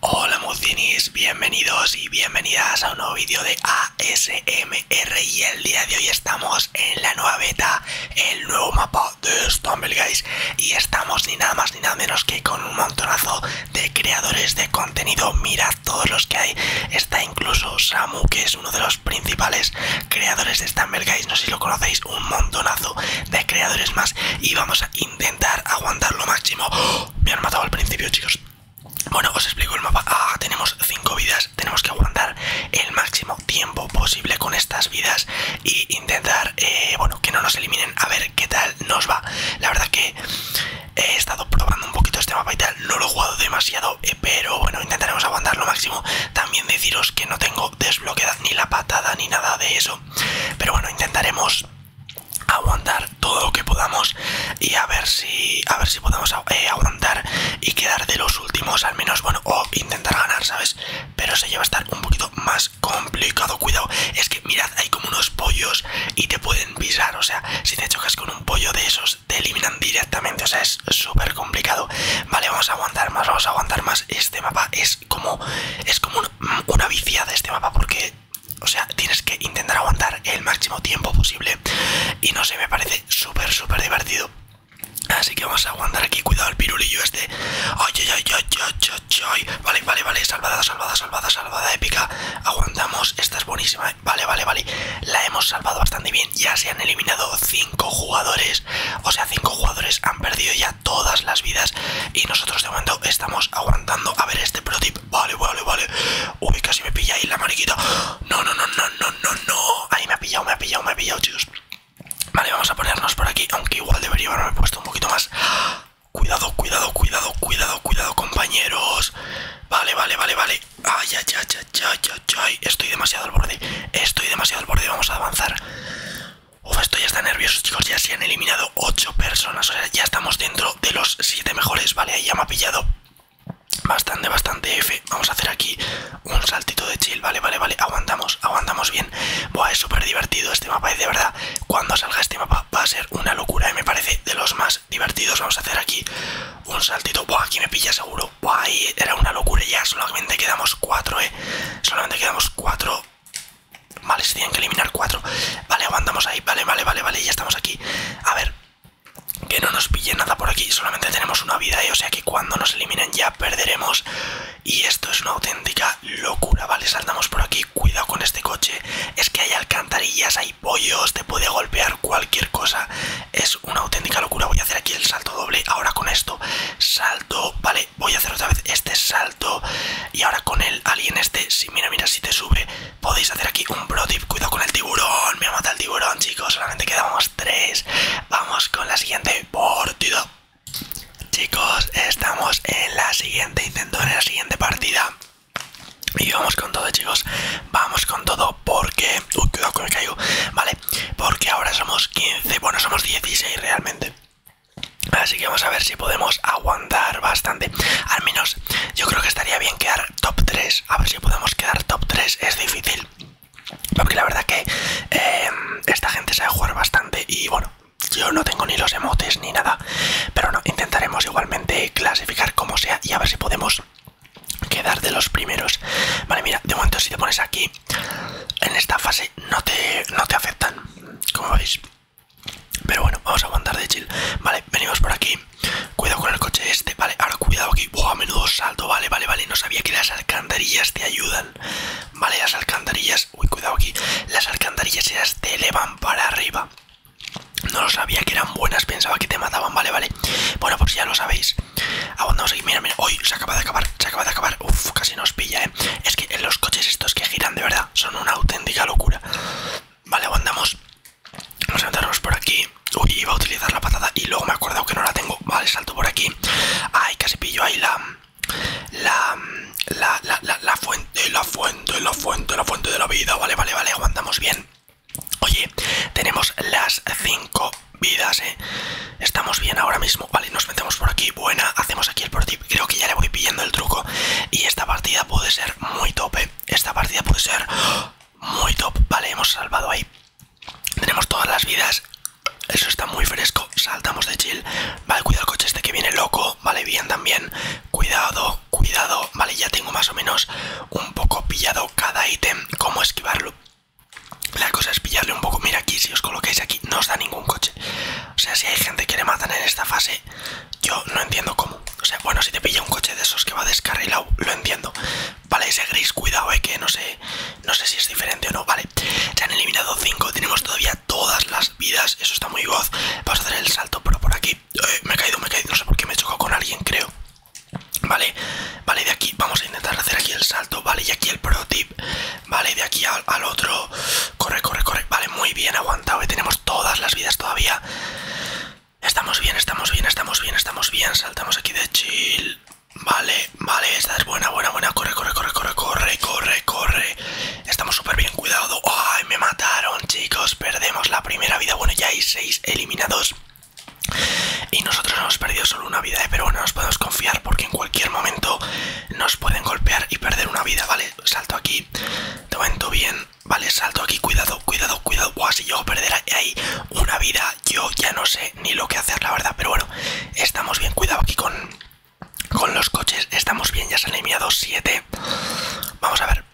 Hola Mucinis, bienvenidos y bienvenidas a un nuevo vídeo de ASMR y el día de hoy estamos en la nueva beta, el nuevo mapa de Stumble Guys y estamos ni nada más ni nada menos que con un montonazo de creadores de contenido, mirad todos los que hay, está incluso Samu que es uno de los principales creadores de Stumble Guys, no sé si lo conocéis, un montonazo de creadores más y vamos a intentar aguantar lo máximo. ¡Oh! Me han matado al principio, chicos. Bueno, os explico el mapa. Ah, tenemos 5 vidas. Tenemos que aguantar el máximo tiempo posible con estas vidas Y intentar, eh, bueno, que no nos eliminen. A ver qué tal nos va. La verdad que he estado probando un poquito este mapa y tal. No lo he jugado demasiado, eh, pero bueno, intentaremos aguantar lo máximo. También deciros que no tengo desbloqueada ni la patada ni nada de eso. Pero bueno, intentaremos aguantar todo lo que podamos y a ver si a ver si podemos eh, aguantar y quedar de los últimos al menos bueno o intentar ganar sabes pero se lleva a estar un poquito más complicado cuidado es que mirad hay como unos pollos y te pueden pisar o sea si te chocas con un pollo de esos te eliminan directamente o sea es súper complicado vale vamos a aguantar más vamos a aguantar más este mapa es como es como una, viciada este mapa porque o sea tienes que intentar aguantar el máximo tiempo posible y no sé me parece súper súper divertido así que vamos a aguantar aquí cuidado el pirulillo este oye ay ay ay vale vale vale salvada salvada salvada salvada épica aguantamos esta es buenísima ¿eh? vale vale vale la hemos salvado bastante bien ya se han eliminado 5 jugadores o sea 5 jugadores han perdido ya todas las vidas y nosotros de momento estamos aguantando a ver este protip vale vale vale uy casi me pilla ahí la mariquita no no no no no no no ahí me ha pillado me ha pillado me ha pillado chicos vale vamos a ponernos por aquí aunque igual debería haberme puesto un poquito más cuidado cuidado cuidado cuidado cuidado compañeros vale vale vale vale ay ay ay ay ay, ay. estoy demasiado al borde estoy demasiado al borde vamos a avanzar Uf, esto ya está nervioso, chicos. Ya se han eliminado 8 personas. O sea, ya estamos dentro de los 7 mejores. Vale, ahí ya me ha pillado bastante, bastante F. Vamos a hacer aquí un saltito de chill. Vale, vale, vale. Aguantamos, aguantamos bien. Buah, es súper divertido este mapa. Y de verdad, cuando salga este mapa va a ser una locura. Eh, me parece de los más divertidos. Vamos a hacer aquí un saltito. Buah, aquí me pilla seguro. Buah, ahí era una locura. Ya solamente quedamos cuatro eh. Solamente quedamos cuatro. Vale, se tienen que eliminar cuatro. Vale, aguantamos ahí. Vale, vale, vale, vale. Ya estamos aquí. A ver. Que no nos pille nada por aquí. Solamente tenemos una vida. y ¿eh? O sea que cuando nos eliminen ya perderemos. Y esto es una auténtica locura. Vale, saltamos por aquí. Cuidado con este coche. Es que hay alcantarillas, hay pollos. Te puede golpear cualquier cosa. Es una auténtica locura. Voy a hacer aquí el salto doble. Ahora con esto. Salto. Vale, voy a hacer otra vez este salto y ahora con el alien este, si mira, mira, si te sube, podéis hacer aquí un pro tip, cuidado con el tiburón, me ha matado el tiburón, chicos, solamente quedamos tres, vamos con la siguiente partida. Chicos, estamos en la siguiente intento, en la siguiente partida. Y vamos con todo, chicos. Vamos con todo porque... Uy, cuidado con el caigo. Vale, porque ahora somos 15, bueno, somos 16 realmente. Así que vamos a ver si podemos aguantar bastante. Al menos yo creo que estaría bien quedar top 3. A ver si podemos quedar top 3. Es difícil. Porque la verdad que eh, esta gente sabe jugar bastante y bueno, yo no tengo ni los emotes ni nada. Pero no, intentaremos igualmente clasificar como sea y a ver si podemos quedar de los primeros. Vale, mira, de momento si te pones aquí en esta fase no te, no afectan, como veis. Pero bueno, vamos a aguantar de chill. Vale, venimos por aquí. Cuidado con el coche este, vale. Ahora cuidado aquí. a menudo salto, vale, vale, vale. No sabía que las alcantarillas te ayudan. Vale, las alcantarillas. Uy, cuidado aquí. Las alcantarillas te elevan para arriba. No lo sabía que eran buenas, pensaba que te mataban, vale, vale. Bueno, pues ya lo sabéis. Aguantamos ah, aquí, mira, mira, hoy se acaba de acabar, se acaba de acabar, uff, casi nos pilla, eh. Es que en los coches estos que giran de verdad son una auténtica locura. Vale, aguantamos. Nos a por aquí. Uy, iba a utilizar la patada y luego me he acordado que no la tengo. Vale, salto por aquí. Ay, casi pillo ahí la. La. La, la, la, fuente, la fuente, la fuente, la fuente de la vida. Vale, vale, vale, aguantamos bien. Oye, tenemos las 5 vidas, ¿eh? Estamos bien ahora mismo. Vale, nos metemos por aquí. Buena, hacemos aquí el por Creo que ya le voy pillando el truco. Y esta partida puede ser muy tope. ¿eh? Esta partida puede ser muy top. Vale, hemos salvado ahí. Tenemos todas las vidas. Eso está muy fresco. Saltamos de chill. Vale, cuidado el coche este que viene loco. Vale, bien también. Cuidado, cuidado. Vale, ya tengo más o menos un poco pillado cada ítem. Cómo esquivarlo. La cosa es pillarle un poco. Mira aquí, si os coloquéis aquí, no os da ningún coche. O sea, si hay gente que le matan en esta fase, yo no entiendo cómo. O sea, bueno, si te pilla un coche de esos que va descarrilado, lo entiendo. Vale, ese gris, cuidado, eh, que no sé, no sé si es diferente o no. Vale, se han eliminado 5, tenemos todavía todas las vidas. Eso está muy voz. Vamos a hacer el salto, pero por aquí. Eh, me he caído, me he caído. No sé por qué me he chocado con alguien, creo. Vale, vale, de aquí vamos a intentar hacer aquí el salto, vale, y aquí el prototip tip, vale, de aquí al, al otro, corre, corre, corre, vale, muy bien, aguantado, y eh, tenemos todas las vidas todavía. Estamos bien, estamos bien, estamos bien, estamos bien, saltamos aquí de chill, vale, vale, esta es buena, buena, buena, corre, corre, corre, corre, corre, corre, corre, estamos súper bien, cuidado, ay, me mataron, chicos, perdemos la primera vida, bueno, ya hay seis eliminados. Y nosotros hemos perdido solo una vida, ¿eh? pero bueno, nos podemos confiar porque en cualquier momento nos pueden golpear y perder una vida, ¿vale? Salto aquí, todo momento bien, ¿vale? Salto aquí, cuidado, cuidado, cuidado. si yo a ahí una vida, yo ya no sé ni lo que hacer, la verdad. Pero bueno, estamos bien, cuidado aquí con, con los coches, estamos bien, ya se han eliminado 7. Vamos a ver,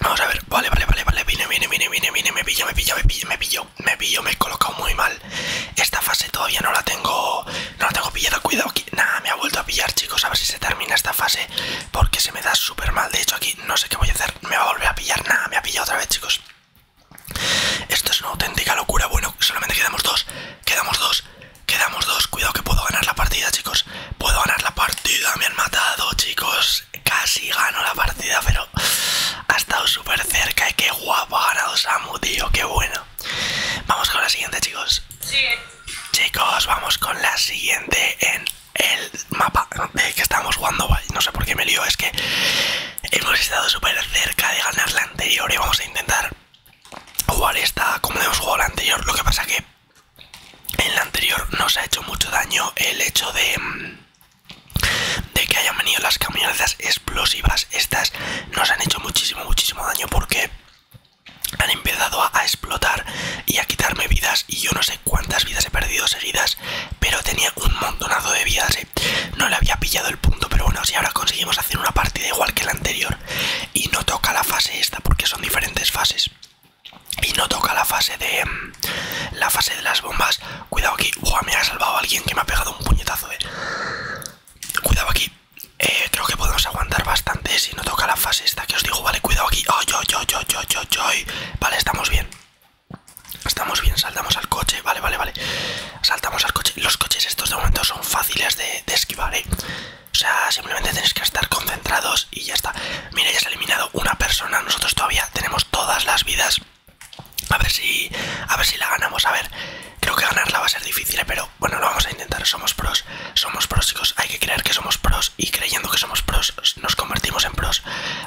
Vamos a ver, vale, vale, vale, vale, viene, viene, viene, viene, vine, me pillo, me pillo, me pillo, me pillo, me pillo, me he colocado muy mal. Esta fase todavía no la tengo, no la tengo pillada, cuidado aquí. Nada, me ha vuelto a pillar, chicos, a ver si se termina esta fase, porque se me da súper mal. De hecho, aquí no sé qué voy a hacer, me va a volver a pillar, nada, me ha pillado otra vez, chicos. Esto es una auténtica locura, bueno, solamente quedamos dos, quedamos dos, quedamos dos, cuidado que puedo ganar la partida, chicos. Puedo ganar la partida, me han matado, chicos. Pues casi gano la partida, pero ha estado súper cerca y que guapo ha ganado Samu, tío, qué bueno. Vamos con la siguiente, chicos. Chicos, vamos con la siguiente en el mapa de eh, que estamos jugando. No sé por qué me lío, es que hemos estado súper cerca de ganar la anterior y vamos a intentar jugar esta como hemos jugado la anterior. Lo que pasa que en la anterior nos ha hecho mucho daño el hecho de mm, de que hayan venido las camionetas explosivas estas nos han hecho muchísimo muchísimo daño porque han empezado a, explotar y a quitarme vidas y yo no sé cuántas vidas he perdido seguidas pero tenía un montonazo de vidas ¿eh? no le había pillado el punto pero bueno si ahora conseguimos hacer una partida igual que la anterior y no toca la fase esta porque son diferentes fases y no toca la fase de em, la fase de las bombas cuidado aquí me ha salvado alguien que me ha pegado un puñetazo eh, cuidado aquí eh, creo que podemos aguantar bastante si no toca la fase esta que os digo vale cuidado aquí yo, yo, yo, yo, yo, yo. vale estamos bien estamos bien saltamos al coche vale vale vale saltamos al coche los coches estos de momento son fáciles de, de esquivar ¿eh? O sea, simplemente tenéis que estar concentrados y ya está. Mira, ya se ha eliminado una persona. Nosotros todavía tenemos todas las vidas. A ver si. A ver si la ganamos. A ver. Creo que ganarla va a ser difícil, pero bueno, lo vamos a intentar. Somos pros. Somos pros, chicos. Hay que creer que somos pros. Y creyendo que somos pros, nos convertimos en pros.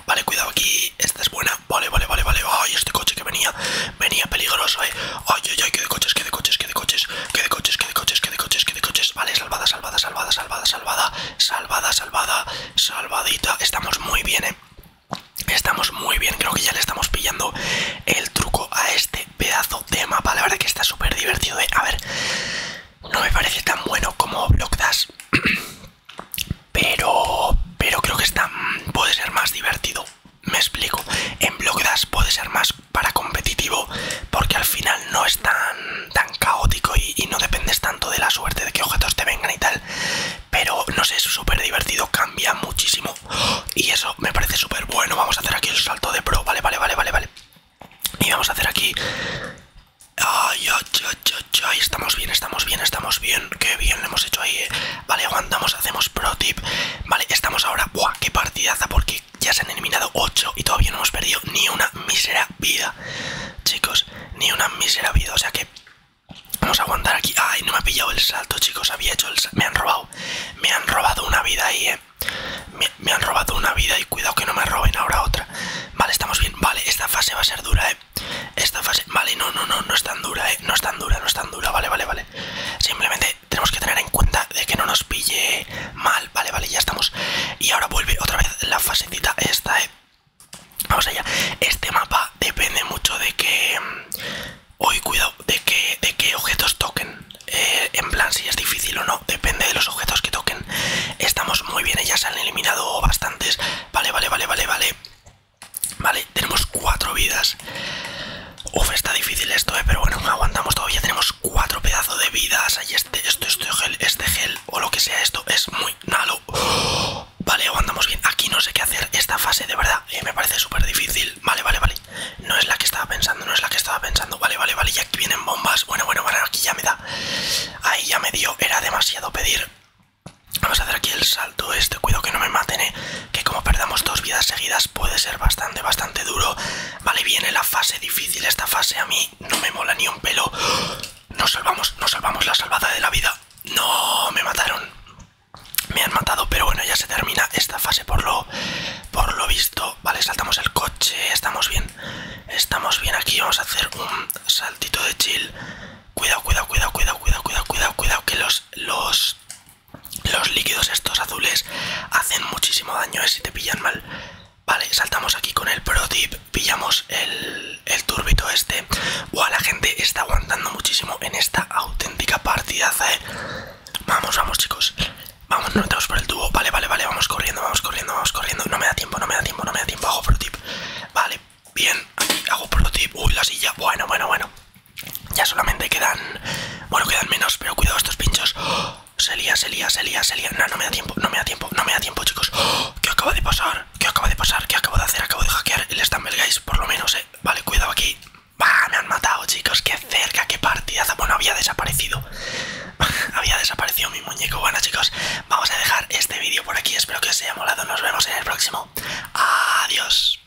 Vale, cuidado aquí. Esta es buena. Vale, vale, vale, vale. Ay, este coche que venía. Venía peligroso, eh. Ay, ay, ay, que de coches, que de coches, que de coches, que de coches, que de coches, que de coches, que de coches, que de coches vale, salvada, salvada, salvada, salvada, salvada, salvada, salvada, salvadita. Estamos muy bien, eh. Estamos muy bien, creo que ya le estamos pillando el truco a este pedazo de mapa. La verdad que está súper divertido, ¿eh? A ver, no me parece tan bueno como Block Dash. pero pero creo que está mm, puede ser más divertido me explico en Block Dash puede ser más para competitivo porque al final no es tan, tan caótico y, no dependes tanto de la suerte de que objetos te vengan y tal pero no sé es súper divertido cambia muchísimo y eso me parece súper bueno vamos a hacer aquí el salto de pro vale vale vale vale vale y vamos a hacer aquí ay ay ay ay, estamos bien estamos bien estamos bien qué bien lo hemos hecho ahí eh. vale aguantamos hacemos pro tip vale estamos ahora buah qué partidaza porque ya se han eliminado 8 y todavía no hemos perdido ni una misera vida. Chicos, ni una misera vida. O sea que vamos a aguantar aquí. Ay, no me ha pillado el salto, chicos. Había hecho el Me han robado. Me han robado una vida ahí, eh. me, han robado una vida y cuidado que no me roben ahora otra. Vale, estamos bien. Vale, esta fase va a ser dura, eh. Esta fase. Vale, no, no, no, no es tan dura, eh. No es tan dura, no es tan dura. Vale, vale, vale. Simplemente tenemos que tener en cuenta de que no nos pille mal, vale, vale, ya estamos. Y ahora vuelve otra vez la fasecita esta, eh. Vamos allá. Este mapa depende mucho de que. Hoy mm, cuidado, de que, de que objetos toquen. Eh, en plan, si es difícil o no, depende de los objetos que toquen. Estamos muy bien, ya se han eliminado bastantes. Vale, vale, vale, vale, vale. Vale, tenemos cuatro vidas. Uf, está difícil esto, eh, pero bueno, aguantamos todavía. Tenemos cuatro pedazos de vidas. Ahí este, esto, este gel, este gel o lo que sea esto es muy nalo vale, aguantamos bien. Aquí no sé qué hacer. Esta fase de verdad eh, me parece súper difícil. Vale, vale, vale. No es la que estaba pensando, no es la que estaba pensando. Vale, vale, vale. Y aquí vienen bombas. Bueno, bueno, bueno, aquí ya me da. Ahí ya me dio. Era demasiado pedir. Vamos a hacer aquí el salto este. Cuidado que no me maten, eh que como perdamos dos vidas seguidas puede ser bastante, bastante duro. Vale, viene la fase difícil, esta fase a mí no me mola ni un pelo. Nos salvamos, nos salvamos la salvada de la vida. No, me mataron. Me han matado, pero bueno, ya se termina esta fase por lo, por lo visto. Vale, saltamos el coche, estamos bien. Estamos bien aquí, vamos a hacer un saltito de chill. Cuidado, cuidado, cuidado, cuidado, cuidado, cuidado, cuidado, cuidado, que los, los los líquidos estos azules hacen muchísimo daño, eh, si te pillan mal. Vale, saltamos aquí con el Pro Tip, pillamos el, el turbito este. Buah, la gente está aguantando muchísimo en esta auténtica partida. eh. Vamos, vamos, chicos. Vamos, no metemos por el tubo. Vale, vale, vale, vamos corriendo, vamos corriendo, vamos corriendo. No me da tiempo, no me da tiempo, no me da tiempo. Hago Pro Tip. Vale, bien, aquí hago Pro Tip. Uy, la silla. Bueno, bueno, bueno. Ya solamente quedan. Bueno, quedan menos, pero cuidado estos pinchos. Se lía, se lía, se lía, se lía. No, no me da tiempo, no me da tiempo, no me da tiempo, chicos. ¿Qué acaba de pasar? ¿Qué acaba de pasar? ¿Qué acabo de hacer? Acabo de hackear el Stumble Guys, por lo menos, eh. Vale, cuidado aquí. ¡Va! Me han matado, chicos. Qué cerca, qué partida Bueno, había desaparecido. había desaparecido mi muñeco. Bueno, chicos, vamos a dejar este vídeo por aquí. Espero que os haya molado. Nos vemos en el próximo. Adiós.